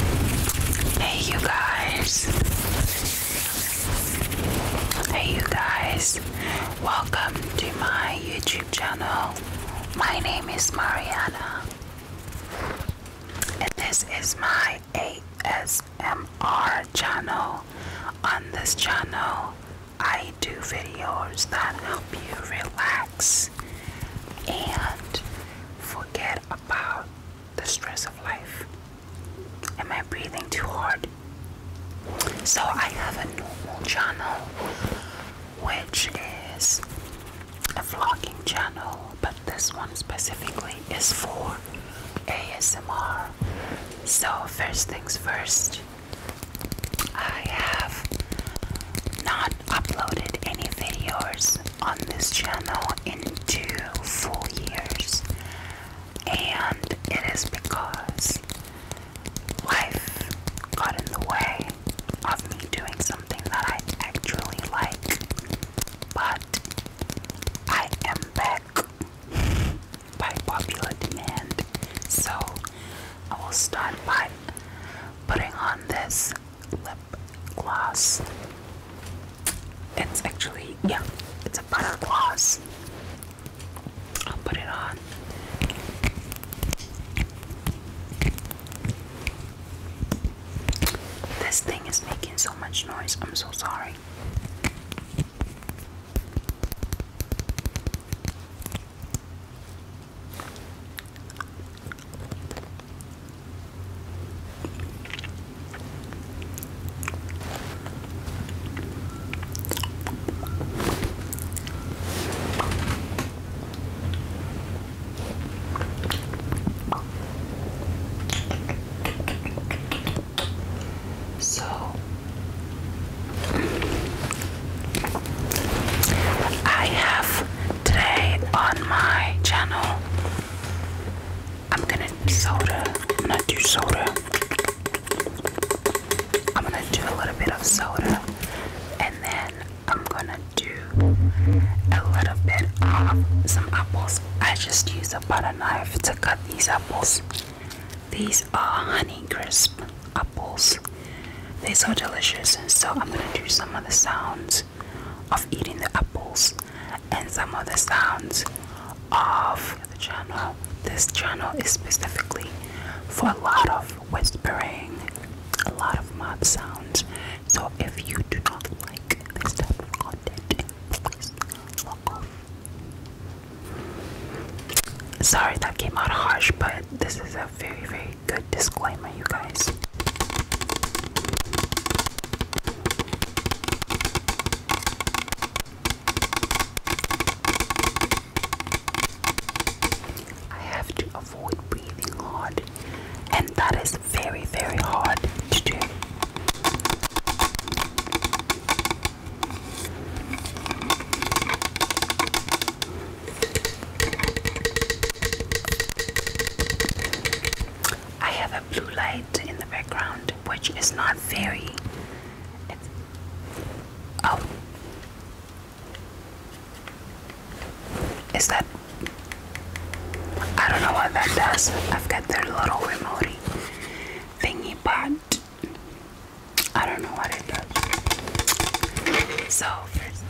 Hey, you guys. Hey, you guys. Welcome to my YouTube channel. My name is Mariana, and this is my ASMR channel. On this channel, I do videos that help you relax and forget about the stress of life. Am I breathing too hard? So I have a normal channel which is a vlogging channel, but this one specifically is for ASMR. So, first things first, I have not uploaded any videos on this channel in two full years, and it is because life got in the way of me doing something that I actually like. But I am back by popular demand, so I will start by putting on this lip gloss. It's actually, yeah, it's a butter gloss. I'll put it on. This thing is making so much noise, I'm so sorry. So I have today on my channel I'm gonna soda. I'm gonna do soda. I'm gonna do a little bit of soda and then I'm gonna do a little bit of some apples. I just use a butter knife to cut these apples. These are honey apples. They're so delicious, so I'm gonna do some of the sounds of eating the apples and some other sounds of the channel. This channel is specifically for a lot of whispering, a lot of mouth sounds. So if you do not like this type of content, please log off. Sorry that came out harsh, but this is a very, very good disclaimer, you guys. I have to avoid breathing hard, and that is very, very hard to do. I have a blue light in the background, which is not very. oh, is that? I don't know what that does. I've got their little remote thingy, but I don't know what it does. So first.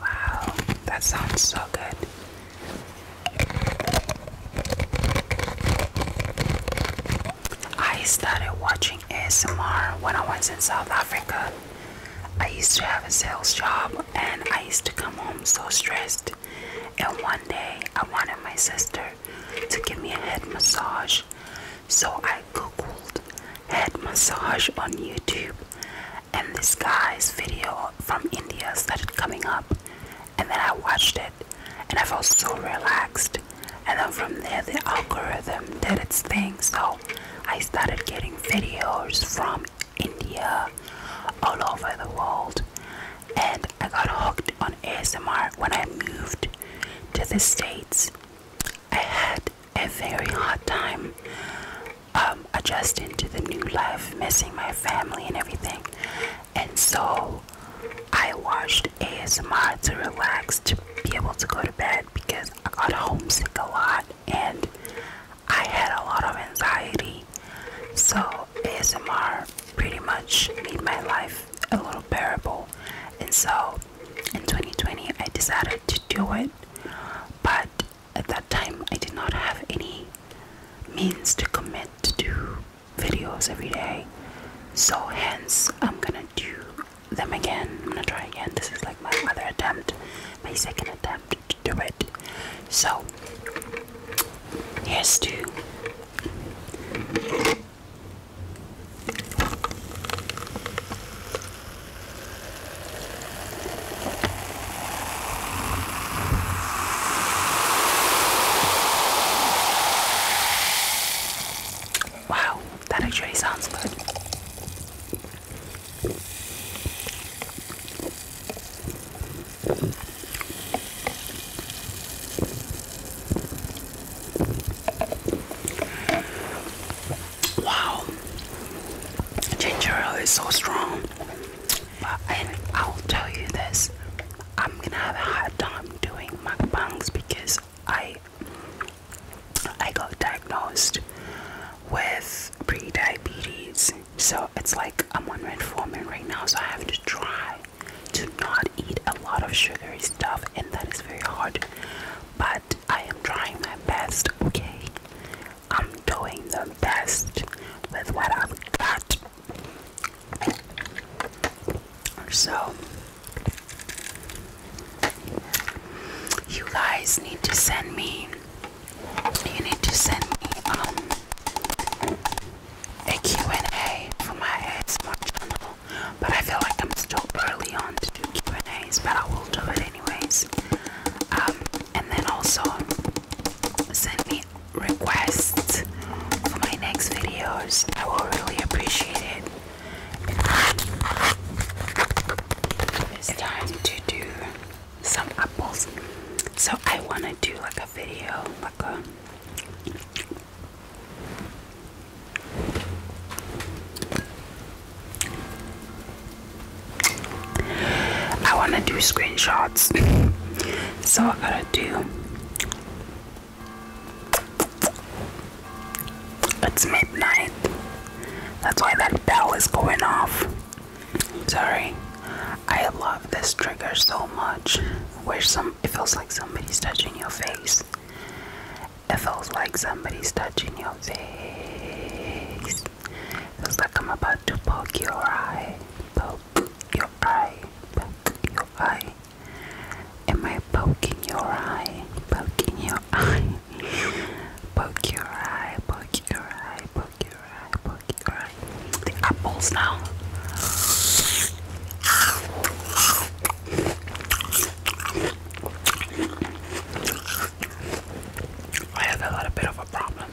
Wow, that sounds so good. I started watching ASMR when I was in South Africa. I used to have a sales job and I used to come home so stressed. And one day I wanted my sister to give me a head massage. So I I googled head massage on YouTube, and this guy's video from India started coming up, and then I watched it, and I felt so relaxed. And then from there, the algorithm did its thing, so I started getting videos from India, all over the world, and I got hooked on ASMR when I moved to the States. I had a very hard time um, adjusting to the new life, missing my family and everything. And so I watched ASMR to relax, to be able to go to bed because I got homesick a lot and I had a lot of anxiety. So ASMR pretty much made my life a little bearable. And so in 2020, I decided to do it but at that time i did not have any means to commit to do videos every day so hence i'm gonna do them again i'm gonna try again this is like my other attempt my second attempt to do it so yes, to Wow, that actually sounds good. Wow, ginger ale is so strong. And I'll tell you this I'm gonna have a hard time doing mukbangs because I I got diagnosed with pre-diabetes so it's like I'm on a metformin right now so I have to try to not eat a lot of sugary stuff and that is very hard but I am trying my best, okay? I'm doing the best with what I've got. So, you guys need to send me, you need to send me, um, a Q&A for my ASMR channel, but I feel like I'm still early on to do Q&As, but I will do it anyways. Um, and then also send me requests for my next videos. I will really appreciate it. It's time to do some apples. So I wanna do like a video, like a I want to do screenshots, so I gotta do it's midnight. That's why that bell is going off. Sorry, I love this trigger so much. Where some it feels like somebody's touching your face, it feels like somebody's touching your face. It feels like I'm about to poke your eye. Poke your eye. Poke your eye. Am I poking your eye? Poking your eye. poke your eye. Poke your eye. Poke your eye. Poke your eye. The apples now. I have a little bit of a problem.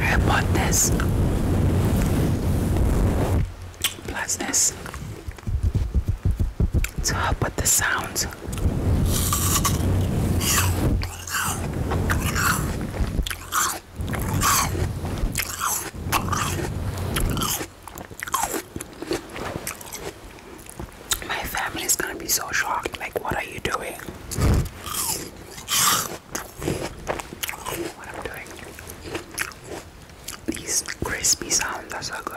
I bought this plus this to help with the sounds. My family's gonna be so shocked. Like, what are you doing? what i doing. These crispy sounds are so good.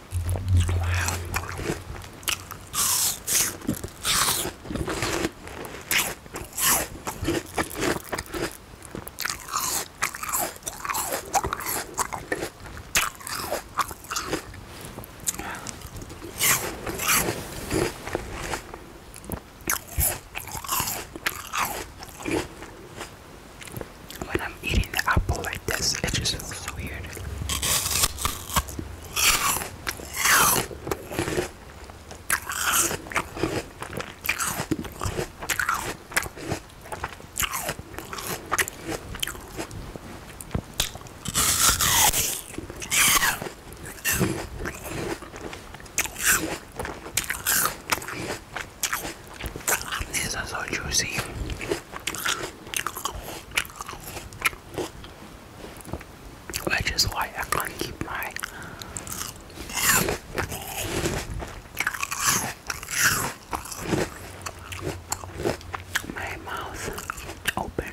When I'm eating the apple like this, it just feels weird. These are so juicy. Which is why I can't keep my my mouth open.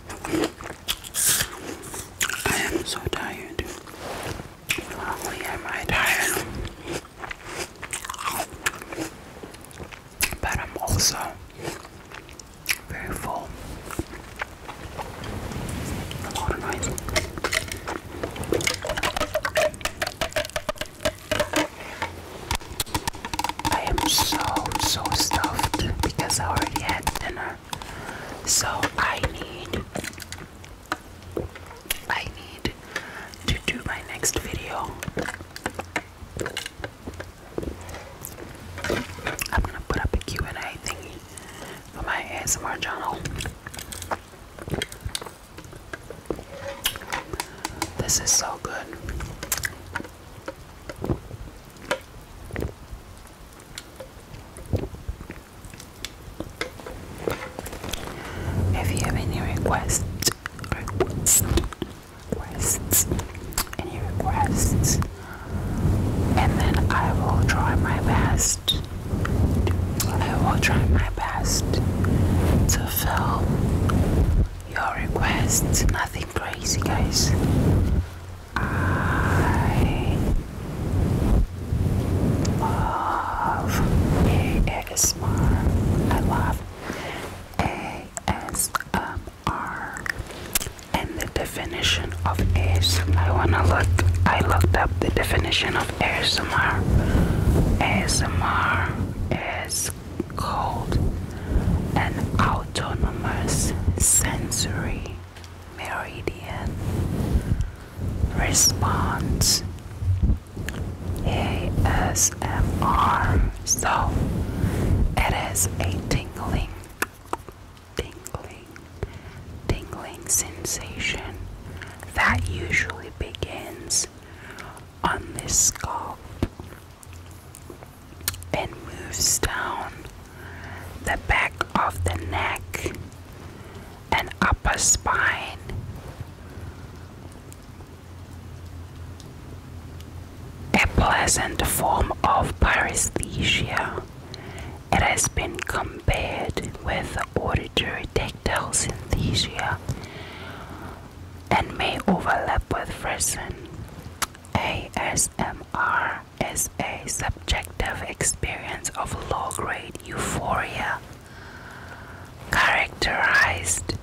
I am so tired. Only am I tired, but I'm also very full. I am so, so stuffed because I already had dinner. So I need, I need to do my next video. I'm gonna put up a Q&A thingy for my ASMR channel. This is so good. If you have any requests, requests, requests, any requests, and then I will try my best. I will try my best to fill your requests. Nothing something crazy, guys. I love ASMR. I love ASMR. And the definition of ASMR. I wanna look. I looked up the definition of ASMR. ASMR is called an autonomous sensory meridian response ASMR. So it is a tingling, tingling, tingling sensation that usually begins on the scalp and moves down the back of the neck and upper spine. A pleasant form of paresthesia. It has been compared with auditory tactile synesthesia and may overlap with frisson. ASMR is a subjective experience of low grade euphoria characterized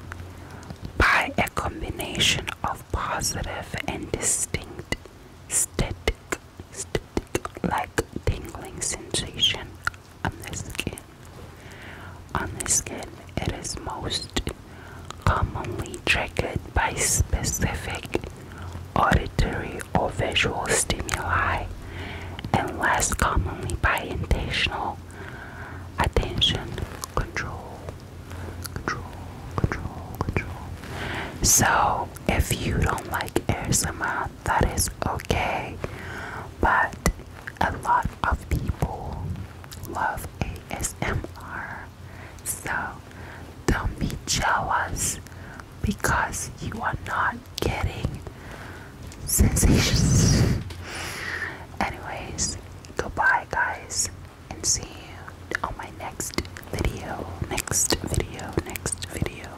by a combination of positive and distinct static, static like tingling sensation on the skin. On the skin, it is most commonly triggered by specific auditory or visual stimuli, and less commonly by intentional attention control. So, if you don't like ASMR, that is okay, but a lot of people love ASMR. So don't be jealous because you are not getting sensations. Anyways, goodbye, guys, and see you on my next video. Next video, next video.